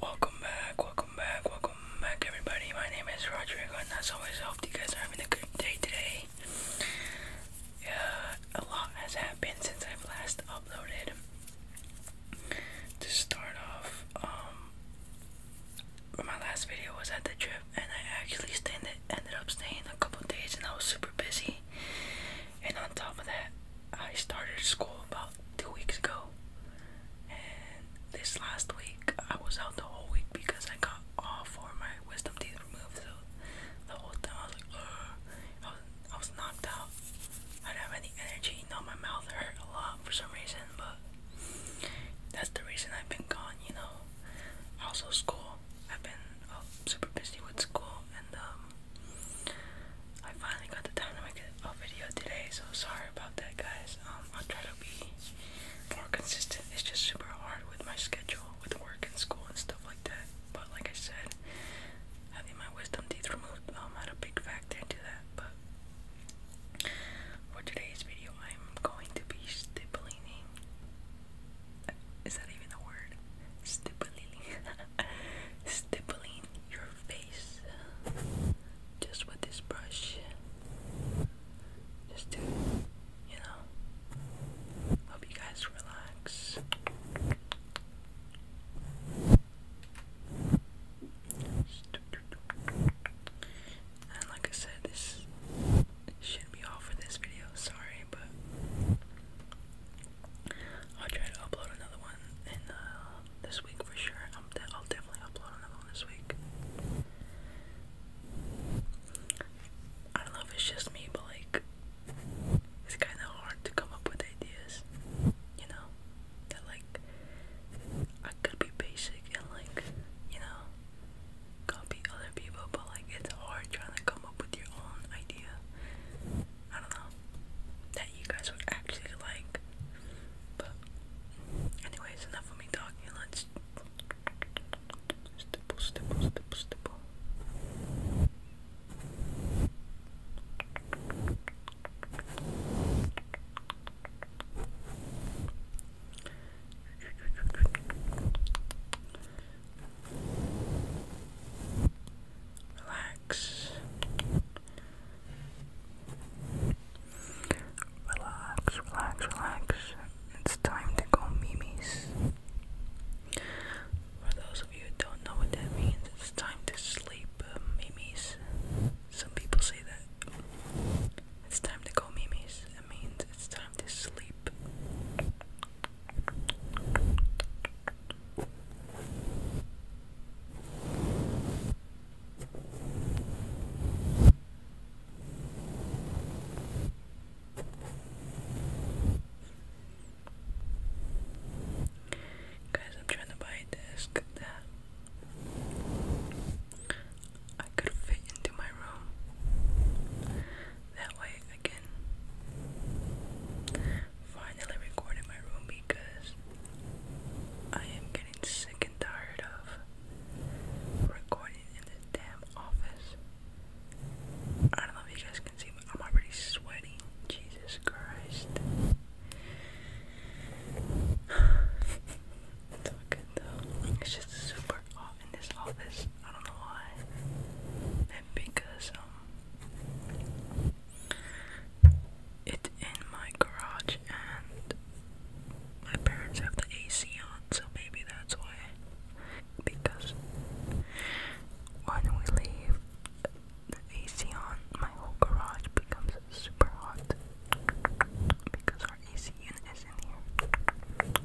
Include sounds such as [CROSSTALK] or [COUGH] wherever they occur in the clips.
Welcome back, welcome back, welcome back everybody. My name is Roger, and as always I hope you guys are having a good day today. a lot has happened since I've last uploaded. To start off, um, my last video was at the trip and I actually stayed, ended up staying a couple days and I was super busy. And on top of that, I started school about two weeks ago, and this last week I was out the whole week because I got all four of my wisdom teeth removed. So the whole time I was like, I was I was knocked out. I didn't have any energy. No, my mouth hurt a lot for some reason, but that's the reason I've been gone. You know, also school. I've been uh, super busy with school and um, I finally got the time to make a video today, so sorry about that, guys. Um, I'll try to be more consistent. It's just super hard with my schedule, with work and school and stuff like that. But like I said, having my wisdom teeth removed um, had a big factor into that. But for today's video, I'm going to be stippling. Is that even a word? Stippling. [LAUGHS] [LAUGHS] stippling your face just with this brush. Just to, you know, help you guys relax. And like I said, this should be all for this video. Sorry, but I'll try to upload another one in uh, this week for sure. i will definitely upload another one this week. I don't know if it's just me, but like, it's kind of hard to come up with ideas, you know, like, I could be basic and like, you know, copy other people, but like, it's hard trying to come up with your own idea. I don't know, that you guys would actually like. But, anyways, enough of me talking. Let's. Relax. Relax, relax, relax. It's time to go memes. For those of you who don't know what that means, it's time to sleep, uh, Some people say that. It's time to go memes. It means it's time to sleep. Guys, I'm trying to buy a desk that I could fit into my room. That way Finally record in my room because I am getting sick and tired of recording in this damn office. I don't know if you guys can see, but I'm already sweating. Jesus Christ. [SIGHS] it's though. It's just super hot in this office. I don't know why because um it's in my garage and my parents have the AC on, so maybe that's why. Because when we leave the AC on, my whole garage becomes super hot because our AC unit is in here.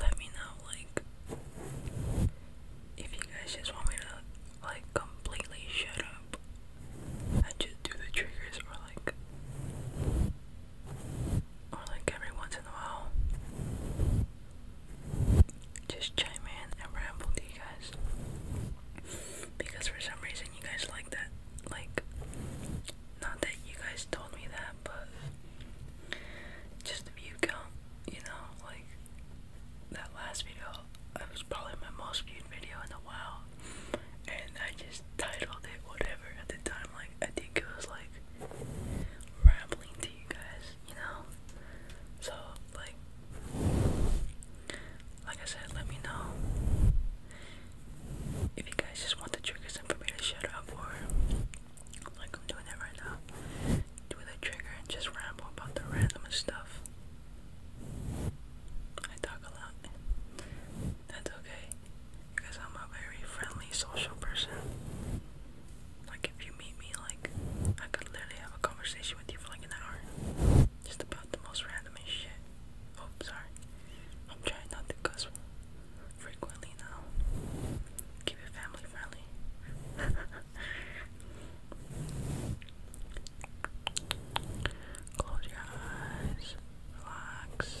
Let me know, like, if you guys just want me to, like, completely shut up and just do the triggers, or like, or like every once in a while, just chime in and ramble to you guys. Because for some reason you guys like that. Like, not that you guys told me that, but just the view count, you know, like that last video, I was probably my most viewed video in a while. And I just titled it whatever at the time. Like, I think it was like rambling to you guys, you know? So, like, like I said, let me know if you guys just want the triggers and for me to shut up or like I'm doing it right now. Do the trigger and just ramble about the random stuff. I talk a lot. That's okay. Because I'm a very friendly social person. Like if you meet me I could literally have a conversation with you for like an hour. Just about the most random shit. Oh, sorry. I'm trying not to cuss frequently now. Keep it family friendly. [LAUGHS] Close your eyes. Relax.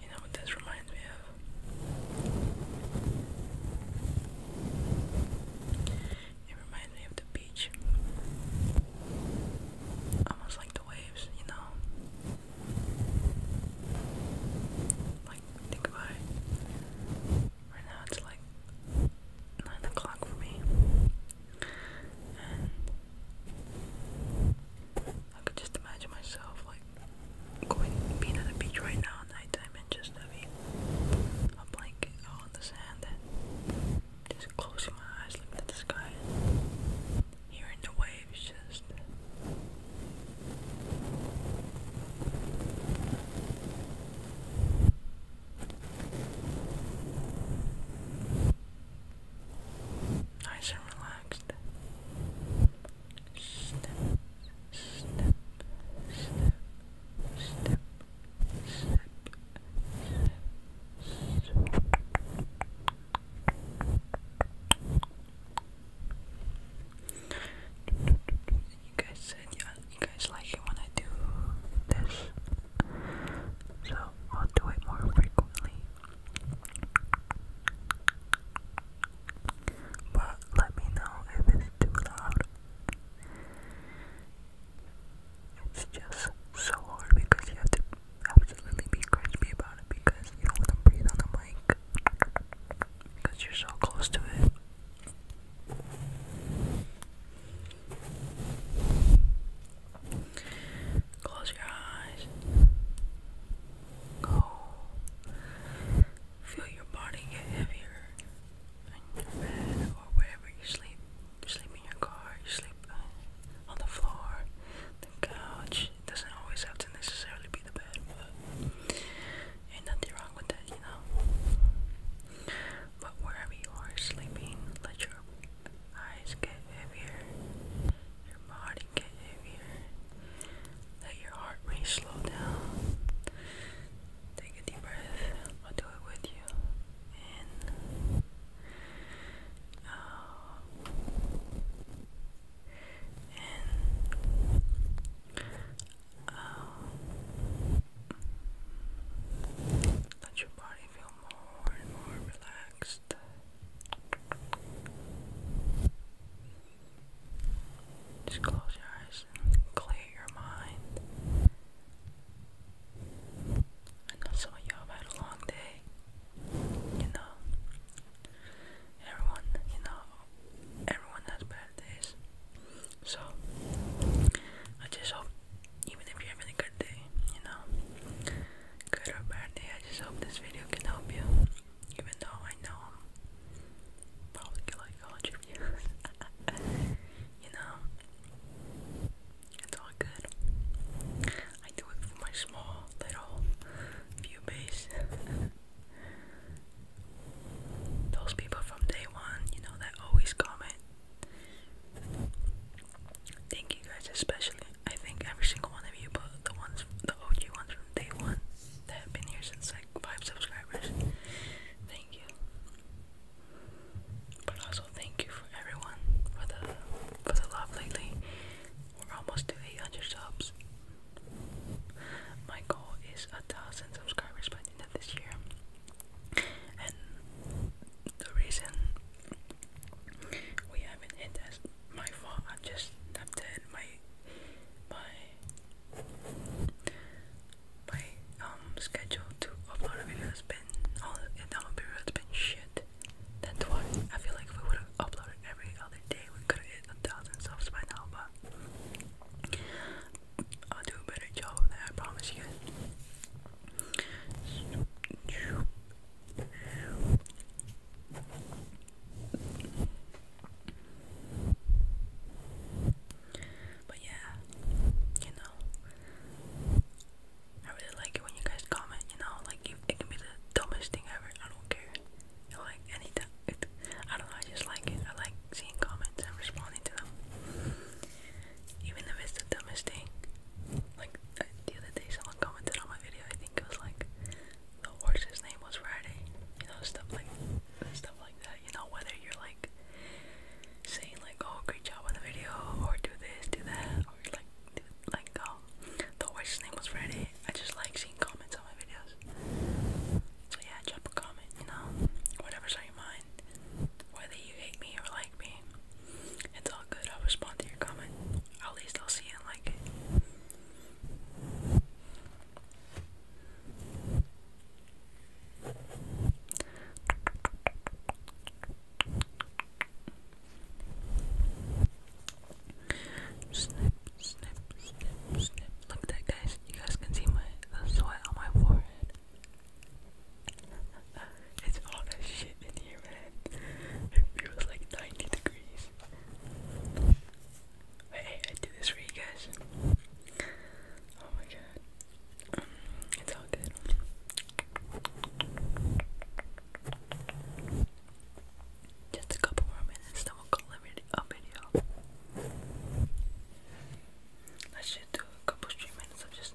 You know what this reminds me of? It reminds me of the beach. Almost like the waves, you know? Like, think about Right now it's like 9 o'clock for me. And I could just imagine myself like going being on the beach right now at nighttime and just having a blanket on the sand just closing my eyes, looking at the sky, hearing the waves just. Nice and relaxed. Step, step, step, step, step, you guys said you, you guys like it when I do this, so I'll do it more frequently. But let me know if it's too loud. It's just so hard because you have to absolutely be crispy about it because you don't want to breathe on the mic because you're so close to it. Close your eyes. Go. Feel your body get heavier in your bed or wherever you sleep. You sleep in your car, you sleep uh, on the floor, the couch. It doesn't always have to necessarily be the bed, but ain't nothing wrong with that, you know? But wherever you are sleeping, let your eyes get heavier, your body get heavier, let your heart rate slow down. Take a deep breath. I'll do it with you. In. Out. Um, In. Out. Let your body feel more and more relaxed. Just close your eyes clear your mind. I know some of y'all have had a long day, you know. Everyone, you know, everyone has bad days. So, I just hope, even if you're having a good day, you know, good or bad day, I just hope this video can help you. Even though I know probably my college oh, [LAUGHS] you know, it's all good. I do it for my small little view base. [LAUGHS] Those people from day one, you know, that always comment. Thank you guys, especially. I think every single one of you, but the ones, the OG ones from day one that have been here since like five subscribers. Thank but also thank you for everyone for the for the love lately. We're almost to 800 subs. My goal is a thousand subscribers by the end of this year. And the reason we haven't hit that's my fault. I just tapped in my my my um schedule to upload a been all the download period has been shit. That's why I feel like if we would have uploaded every other day we could have hit a thousand subs by now but I'll do a better job of that, I promise you guys. But yeah, you know, I really like it when you guys comment. You know, like you, it can be the dumbest thing ever. I don't care. You know, like anytime, it, I don't know. I just like it. I like seeing comments and responding to them, even if it's the dumbest thing. Like I, uh, the other day, someone commented on my video. I think it was like the horse's name was Friday. You know, stuff like stuff like that you know, whether you're like saying like, oh, great job on the video, or do this, do that, or like, like, um, the horse's name was Friday. I just like seeing comments on my videos. So yeah, drop a comment, you know, whatever's on your mind, whether you hate me or like me, it's all good. I'll respond to your comment. At least I'll see and like Snip, snip, snip, snip. Look at that, guys. You guys can see my the sweat on my forehead. [LAUGHS] it's all that shit in here, man. It feels like 90 degrees. Hey, I do this for you guys. Oh my god. Um, it's all good. Just a couple more minutes, then we'll call it a video. Let's just do a couple stream minutes of just.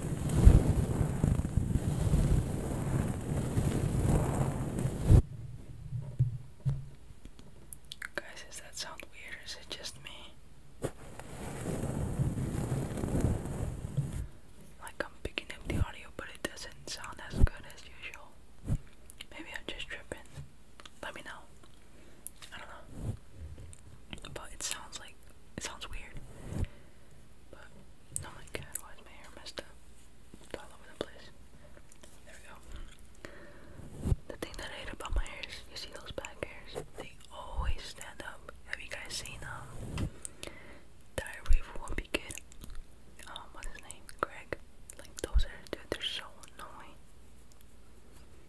Guys, does that sound weird is it just me? Like I'm picking up the audio, but it doesn't sound as good as usual. Maybe I'm just tripping. Let me know. I don't know. But it sounds like it sounds weird. But, oh my god, why is my hair messed up? It's all over the place. There we go. The thing that I hate about my hairs, you see those back hairs? They always stand up. Have you guys seen, them? Um, Diary of a Wimpy Kid? Um, what's his name? Greg? Like, those hairs, dude, they're so annoying.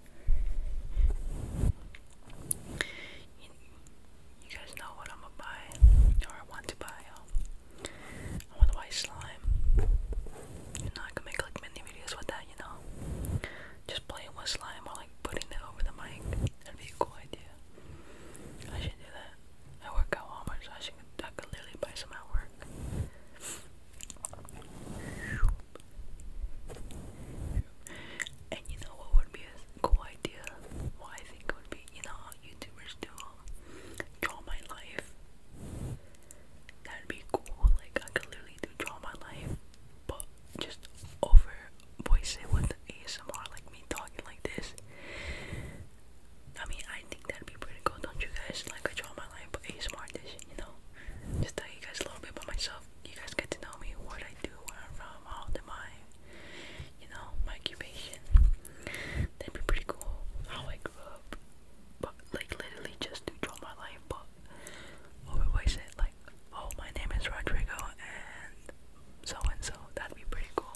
You, guys know what I'm gonna buy, or want to buy. Um, I want to buy slime. You know, I can make like many videos with that. You know, just playing with slime or like putting it over the mic. That'd be a cool idea. I should do that. I work at Walmart, so I should. I could literally buy some at work. And you know what would be a cool idea? What I think would be, you know YouTubers do um, draw my life. That'd be cool. Like I could literally do draw my life, but just over voice it with ASMR, like me talking like this. I mean, I think that'd be pretty cool, don't you guys? Like I draw my online, a smart dish, you know. Just tell you guys a little bit about myself. You guys get to know me, what I do, where I'm from, all the my, you know, my occupation. That'd be pretty cool. How I grew up, but like literally just to draw my life. But always said like, oh, my name is Rodrigo and so and so. That'd be pretty cool.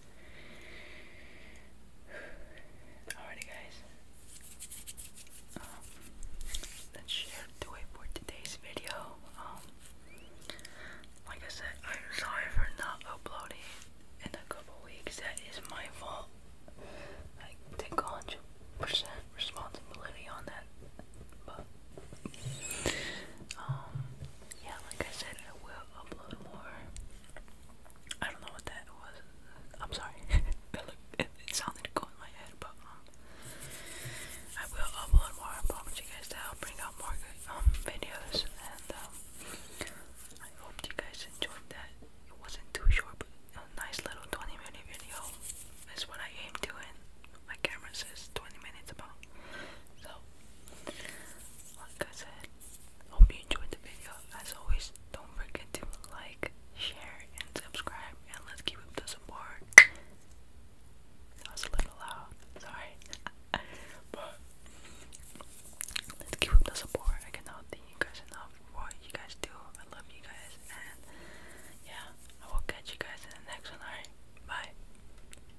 Alrighty, guys. Um, it for today's video. Um, like I said, I'm sorry for not uploading in a couple weeks. That is my fault. I take 100% responsibility on that. But, um, yeah, like I said, I will a little more. I don't know what that was. I'm sorry. [LAUGHS] it, looked, it, it in my head, but um, I will upload more. I promise you guys that I'll bring out more good um videos, and um, I hope you guys enjoyed that. It wasn't too short, but a nice little 20 minute video. That's what I aim to, and my camera says 20 minutes about. So like I said, hope you enjoyed the video. As always, don't forget to like, share, and subscribe, and let's keep up the support. That was a little loud, sorry. [LAUGHS] let's keep up the support. I cannot thank you guys enough for what you guys do. I love you guys, and yeah, I will catch you guys in the next one. Alright, bye.